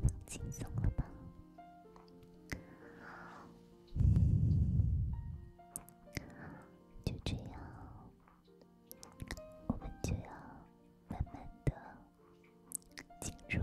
放轻松了吧，就这样，我们就要慢慢的进入。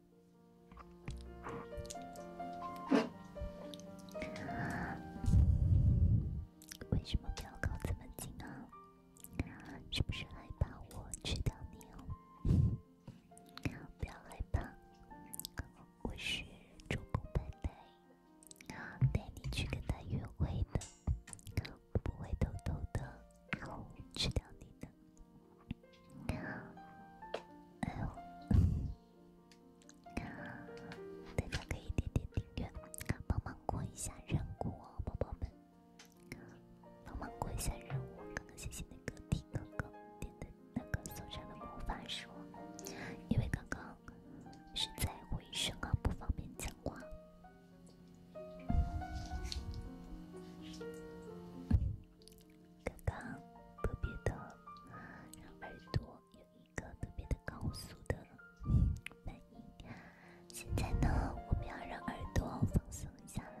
为什么不要靠这么近啊？是不是害怕我吃掉你哦？不要害怕，我是助攻派对，啊，带你去跟他约会的，我不会偷偷的啊吃掉你的。大家可以点点订阅，帮忙过一下任务，宝宝们，帮忙过一下任务。刚刚谢谢那个 T 哥哥点的那个收藏的魔法书，因为刚刚是在回声，不方便讲话。刚刚特别的让耳朵有一个特别的高速的反应，现在呢，我们要让耳朵放松一下了。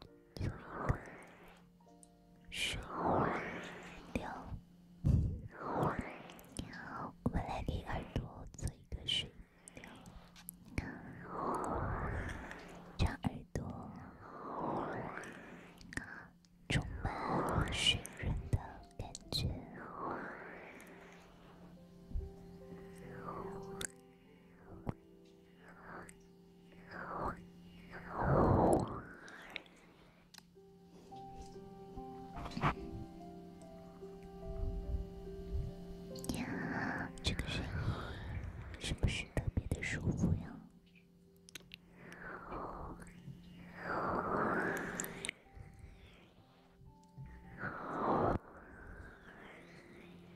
做一个水流。你好，我们来给耳朵做一个水流，让耳朵充满湿润的感觉。你好，这个声音是不是特别的舒服呀？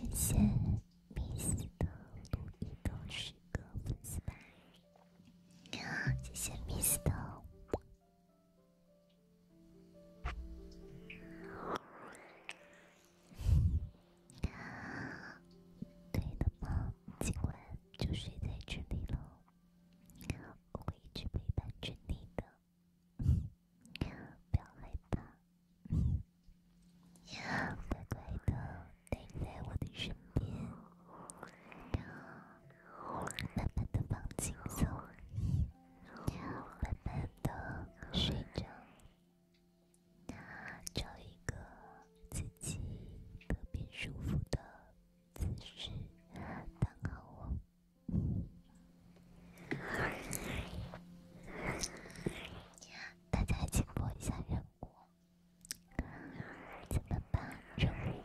感谢。Miss 的陆毅都是个粉丝吧？呀，谢谢 Miss 的。对的吗？今晚就睡在这里了，我会一直陪伴着你的，不要害怕。乖乖的。待在我的身边，然后慢慢的放轻松，慢慢的睡着，找一个自己特别舒服的姿势，然好。我，大家请播一下《人国》。怎么办？让我播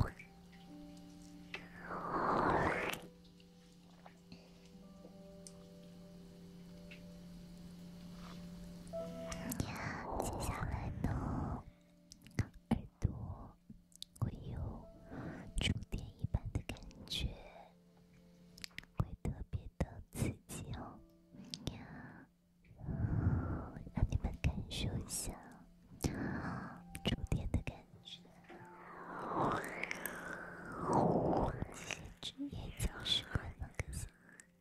一播。呀，接下来呢，耳朵会有触电一般的感觉，会特别的刺激哦。呀，让你们感受一下触电的感觉。职业教师还能更新？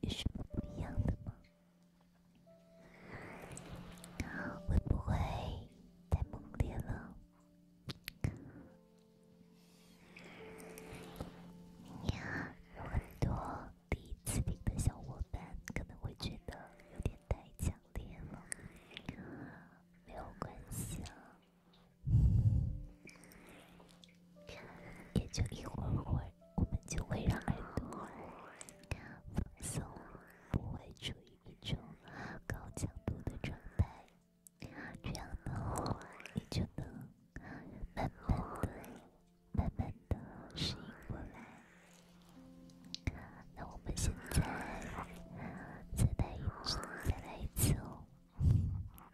有什么不一样的吗？会不会太猛烈了？呀，有很多第一次听的小伙伴可能会觉得有点太强烈了，没有关系啊。也就一会儿会，儿，我们就会让耳朵放松，不会处于一种高强度的状态，这样的话你就能慢慢的、慢慢的适应过来。那我们现在再来一次，再来一次哦，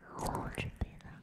好，准备了。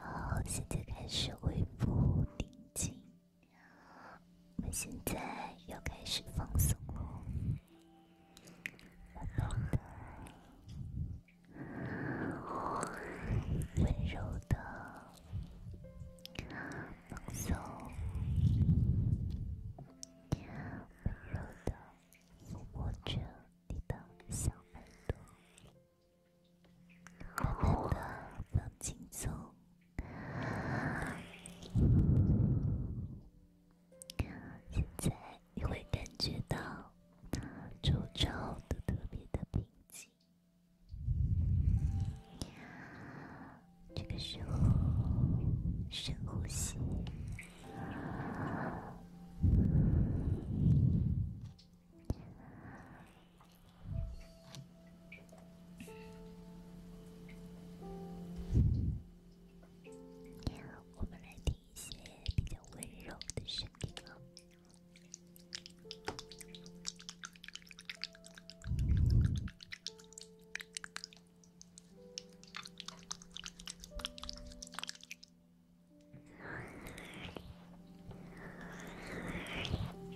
好，现在开始恢复宁静。我们现在要开始放松了，很暖的，温柔的放松，温柔的抚摸着你的小耳朵，慢慢的放轻松。现在你会感觉到周遭都特别的平静，这个时候深呼吸。我们来听一些比较温柔的声音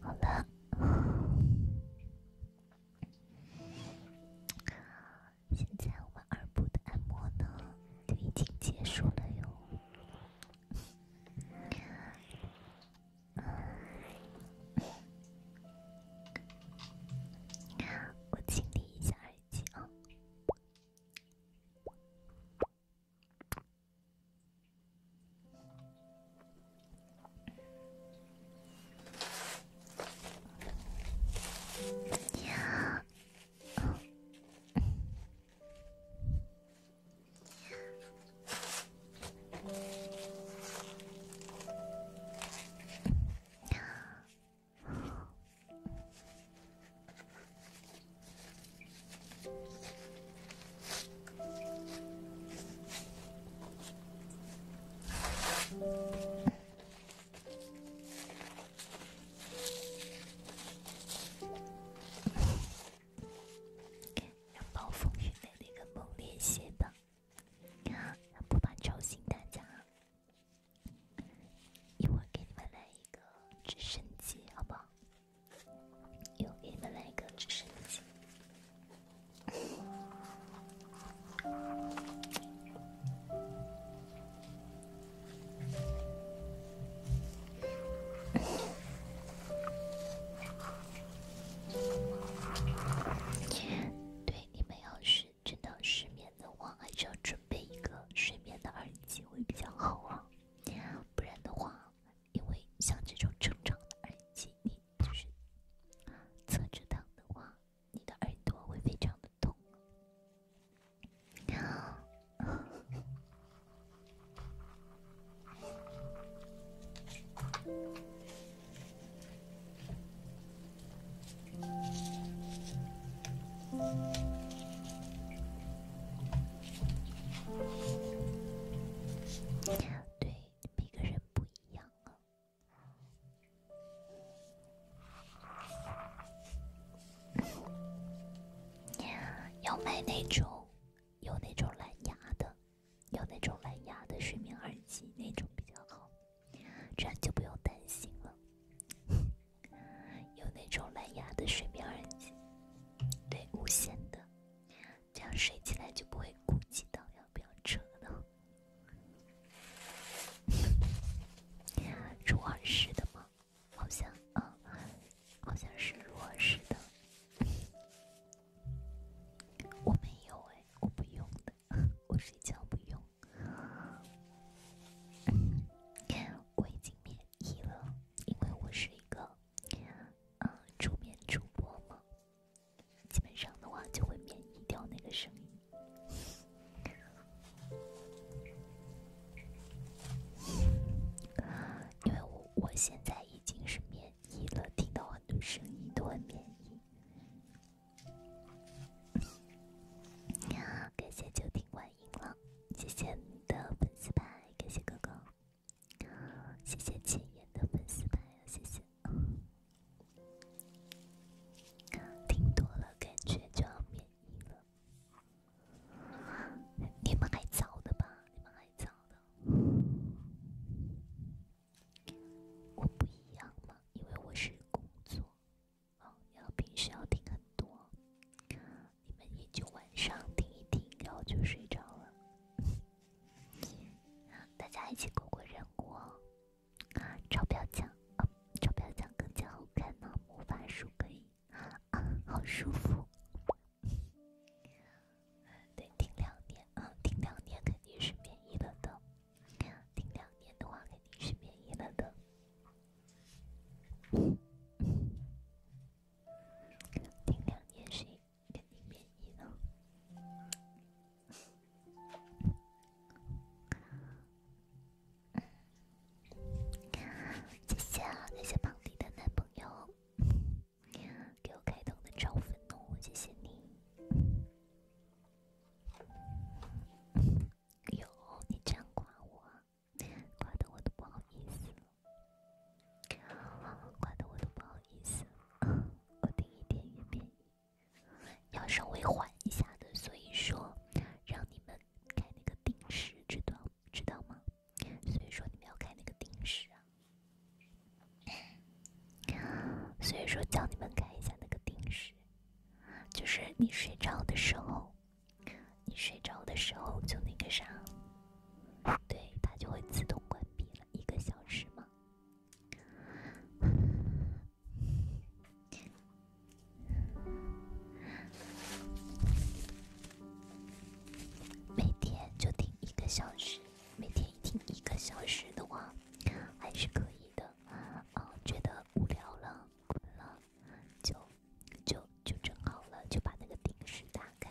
好的，现在我们二部的按摩呢就已经结束了哟。啊，我清理一下而已。亲啊！呀！呀！让暴风雨来得更猛烈些吧！啊，不，怕吵醒大家。一会儿给你们来一个直升机，好不好？一会儿给你们来一个直升机。对，你们要是。真的失眠的话，还是要准备一个睡眠的耳机会比较好啊，不然的话，因为像这种正常的耳机，你就是侧着躺的话，你的耳朵会非常的痛。对每个人不一样啊。要买那种有那种蓝牙的，有那种蓝牙的睡眠耳机，那种比较好。这样就不用担心了。有那种蓝牙的睡眠耳机，对，无线的，这样睡起来就不会顾及到要不要扯了。入耳式的吗？好像，嗯，好像是入耳式的。我没有哎，我不用的，我睡觉不用。我已经免疫了，因为我是一个嗯，助眠主播嘛，基本上的话就会免疫掉那个声音。因为我我现在已经是免疫了，听到很多声音都很免疫。你好，感谢就听晚音了，谢谢你的粉丝牌，感谢哥哥，谢谢千言的粉丝牌啊，谢谢。听多了感觉就要免疫了，你们还早的吧？你们还早的，我不一样吗？因为我是工作。哦，要平时要听很多，你们也就晚上听一听，然后就睡着了。大家一起过过任务，哦。超漂亮啊！超漂亮，更加好看呢。魔法书可以啊，好舒服。得听两年啊，听两年肯定是免疫了的。听两年的话肯定是免疫了的。顶两年谁跟你免疫了？谢谢，谢谢胖迪的男朋友，给我开通的超愤怒，谢谢你。有你这样夸我，夸得我都不好意思了，夸得我都不好意思了。我定一点，一点要稍微缓一下的，所以说让你们开那个定时，知道知道吗？所以说你们要开那个定时啊，所以说叫你们开一下那个定时，就是你睡着的时候。你睡着的时候就那个啥，对，它就会自动关闭了一个小时嘛。每天就听一个小时，每天听一个小时的话，还是可以的。嗯，觉得无聊了，困了。就就就蒸好了，就把那个定时打开。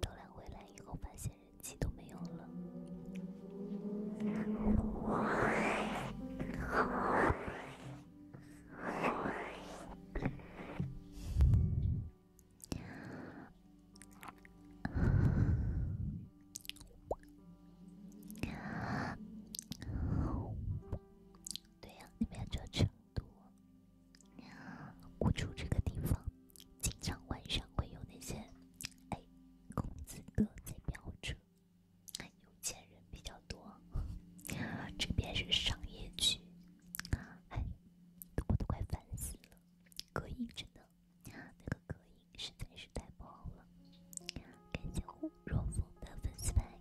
斗兰回来以后，发现人气都没有了。对呀，你们住成都，我住这个地方，经常晚上会有那些哎公子哥在飙车。有钱人比较多，这边是商业区。哎，我都快烦死了，隔音真的，那个隔音实在是太不好了。感谢我若风的粉丝牌。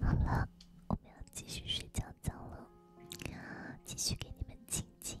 好了，我们要继续睡觉觉了，继续给你们亲亲。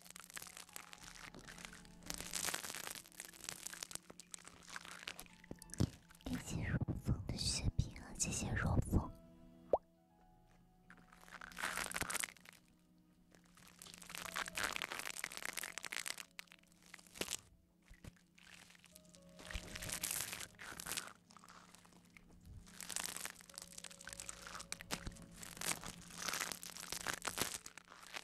感谢若风的血瓶，谢谢若风。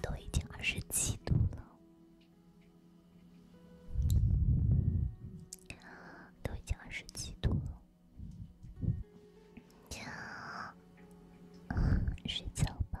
都已经二十度了，睡觉吧。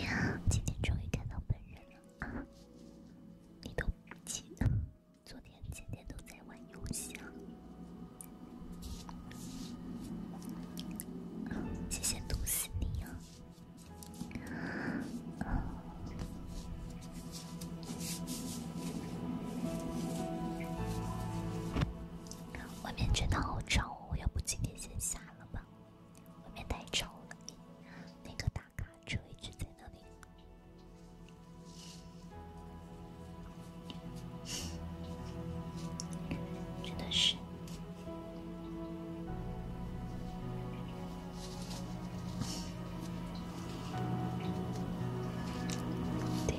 呀，今天终于看到本人了啊！你都不接，昨天今天都在玩游戏啊！谢谢毒死你呀！外面真的好吵，要不今天先下了吧？外面太吵了，那个大卡车一直在那里，真的是。对。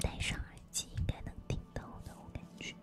戴上耳机应该能听到的，我感觉。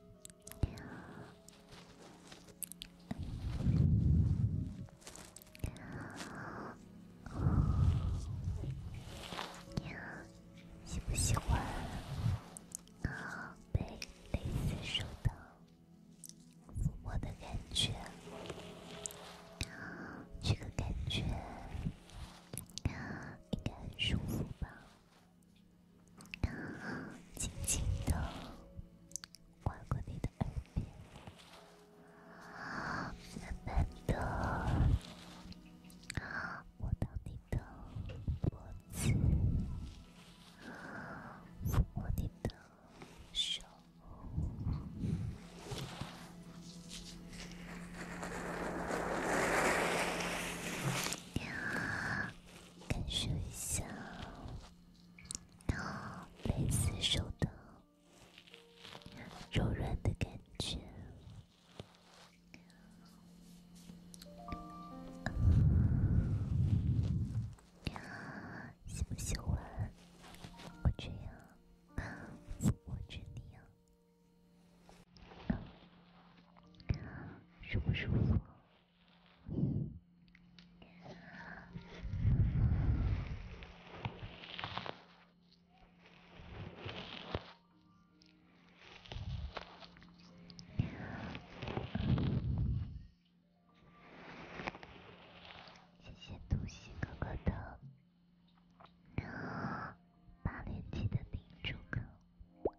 呀呀呀！喜不喜欢被蕾丝收到抚摸的感觉？这个感觉应该很舒服吧？然后轻轻地刮过你的耳边，慢慢的摸到你的脖子，抚摸你的手。感受一下，然后蕾丝手套柔软的感觉，你喜不喜欢我这样抚摸着你呀？舒不舒服？谢谢独行哥哥的八连击的叮嘱哥。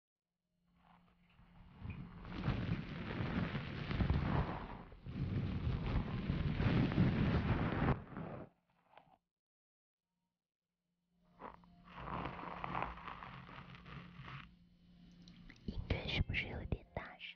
应该是不是有点大声？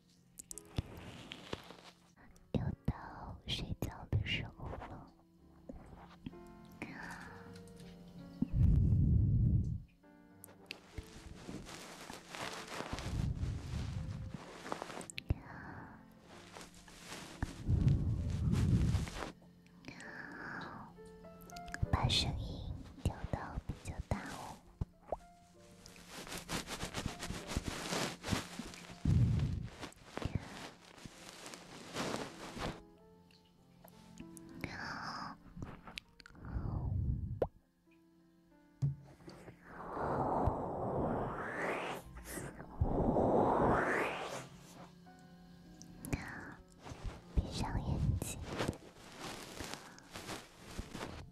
又到睡觉的时候了，把声音调到比较大哦。闭上眼睛。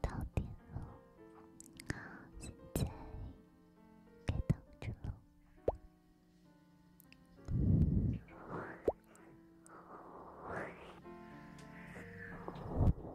到点了，现在该等着了。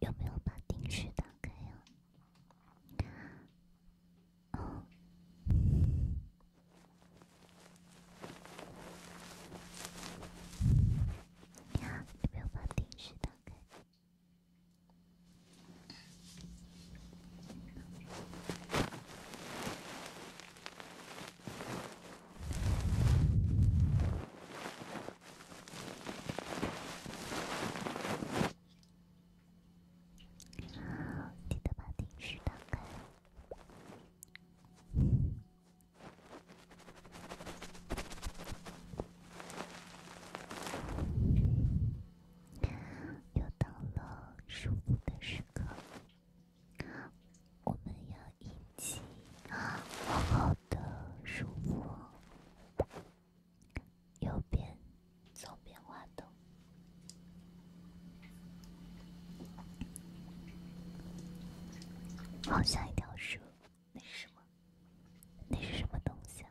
有没有把定时打开呀？哦，你好，有没有把定时打开？记得把定时打开。又到了舒服的时刻。我们要一起好好的舒服。右边，左边花灯，好像一条蛇。那是什么？那是什么东西啊？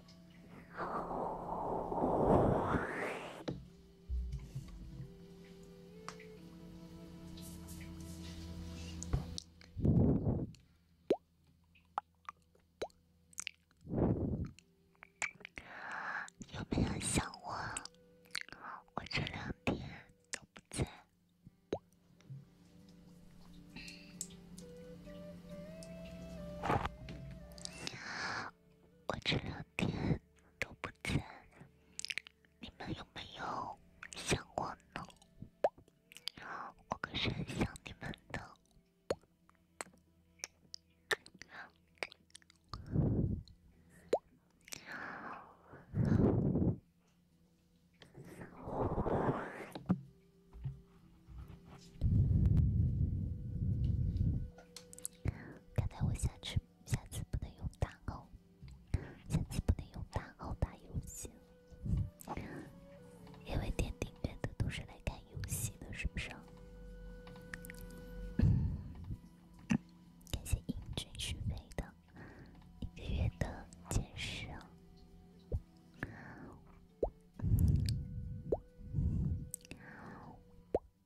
有没有想我？我这两天都不在。我这两天都不在，你们有没有想我呢？我可是很想你们的。刚才我下次下次不能用大号，下次不能用大号打游戏，因为点订阅的都是来看游戏的，是不是？感谢英俊是非的一个月的坚持。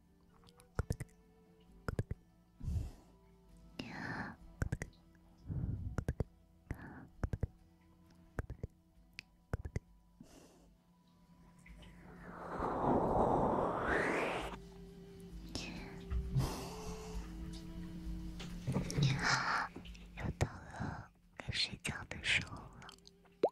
呀！呀！又到了该睡觉的时候了。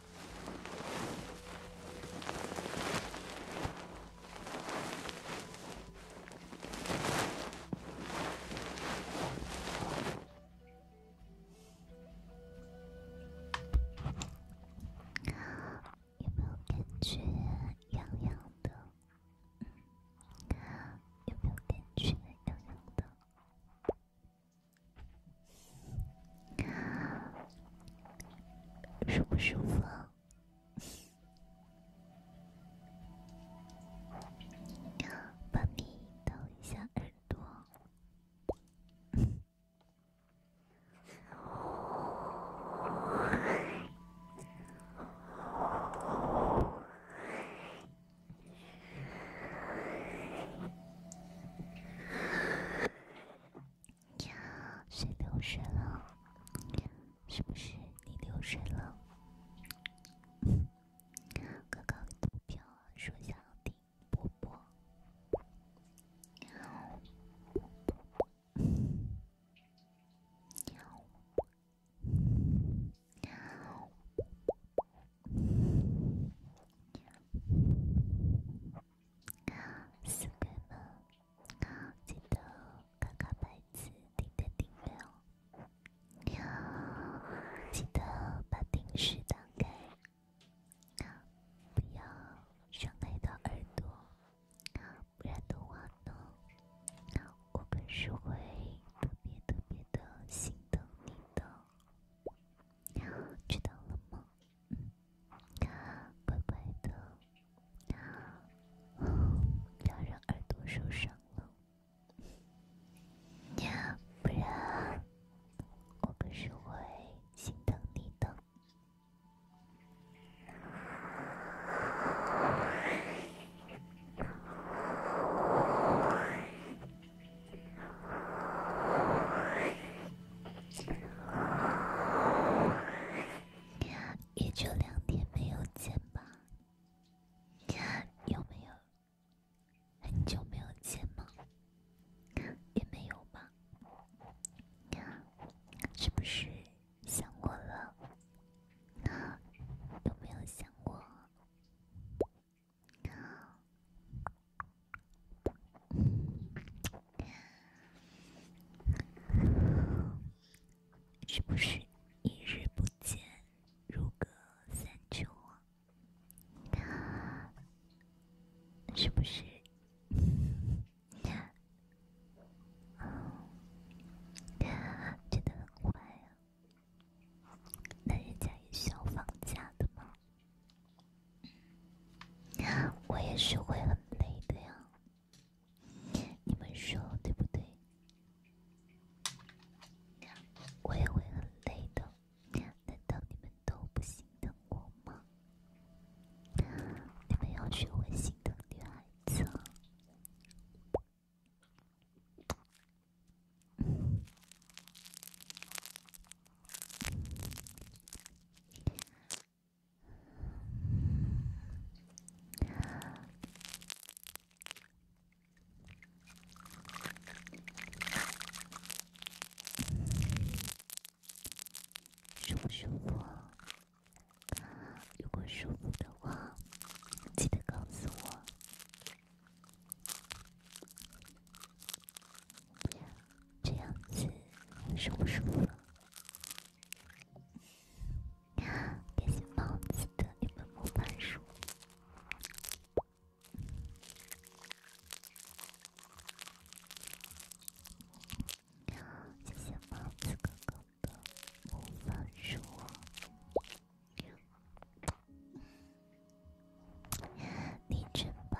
有没有感觉痒痒的？嗯，有没有感觉痒痒的？舒不舒服啊？帮你抖一下耳朵。呀，谁流水了？是不是你流水了？哥 哥投票说小丁，啵啵，啵啵，啵啵。啊，四个吗？好，记得看看牌子，点点定位哦。你好，记得把电视打开，好，不要伤害到耳朵，好，不然的话呢，我们是会特别特别的心疼你的，你好，知道了吗？嗯，乖乖的，不要让耳朵受伤了，要不然我可是会心疼你的。也就两天没有见吧，有没有很久没有见吗？也没有吧，是不是想我了？有没有想过？是不是一日不见，如隔三秋啊？是不是？真的很快啊？那人家也需要放假的吗？我也是会很累的呀，你们说对不对？我也会很累的，难道你们都不心疼我吗？你们要学会心疼女孩子。舒不舒服？如果舒服的话，记得告诉我。这样子，舒不舒服？谢谢帽子的一本魔法书。谢谢帽子哥哥的魔法书，你真棒！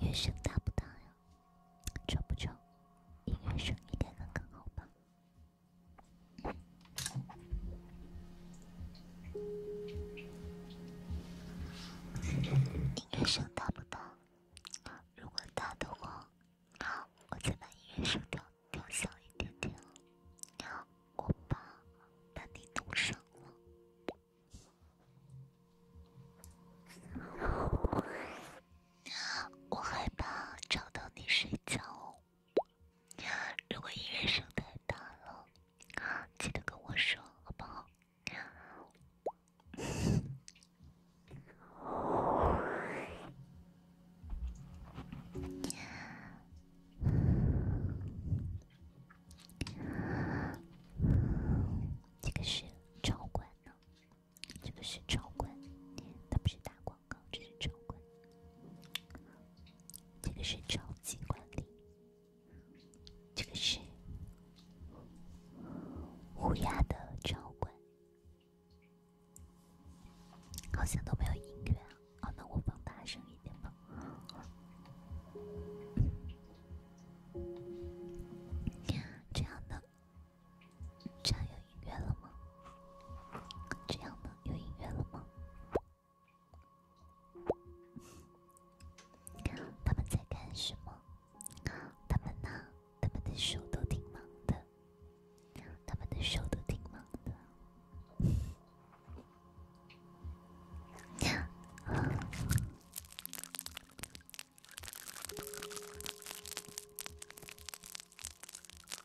音乐声大不大呀？重不重？音乐声一点刚刚好吧。音乐声大不大？如果大的话，好，我再把音乐声调调小一点点。我怕把你冻伤了。我害怕吵到你睡觉。如果音乐声太大了，记得跟我说，好不好？这个是超管呢，这个是超管，他不是大管。这是超管，这个是超级管理，这个是乌鸦的超管，好像都没有音乐啊。那我放大声一点吧。这样的，这样有音乐了吗？这样的，有音乐了吗？他们在干什么？他们呢？他们的手都挺忙的，他们的手都挺忙的。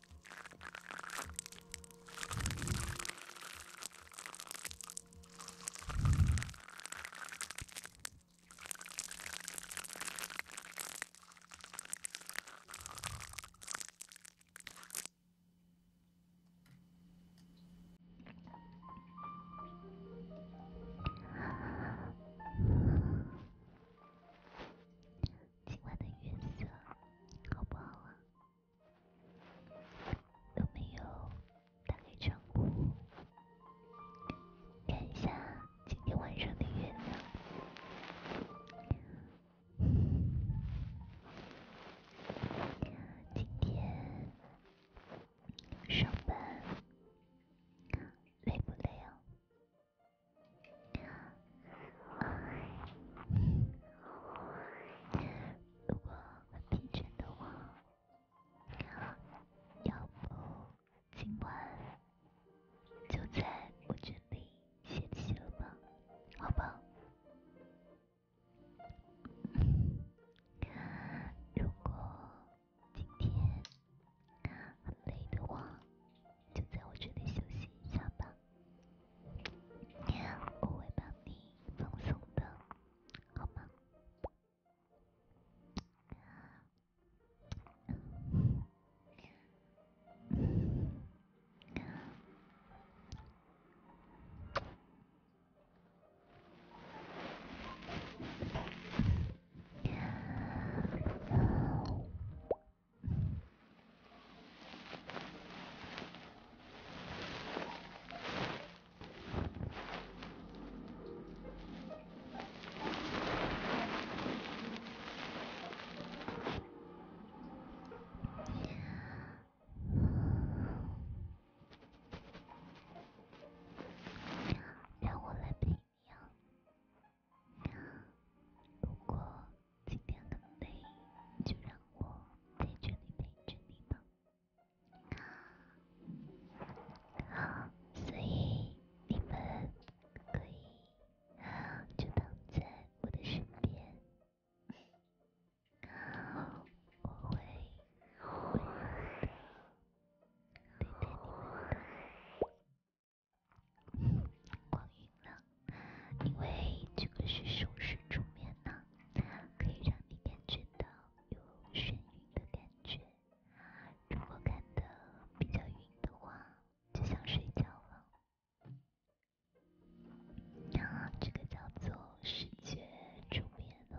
今晚的月色好不好啊？有没有打开窗户看一下今天晚上的月亮？今天上班累不累啊？如果很疲倦的话，要不今晚就在我这里歇息了吧，好吧？如果今天很累的话，就在我这里休息一下吧。我会帮你放松的，好吗？让我来培养。如果今天很累，就让我。在这里陪着你吗？好，所以你们可以就躺在我的身边，我会温柔对光晕了，因为这个是熟睡助眠呢。可以让你感觉到有眩晕的感觉，如果感到比较晕的话，就想睡觉了。这个叫做视觉助眠灯。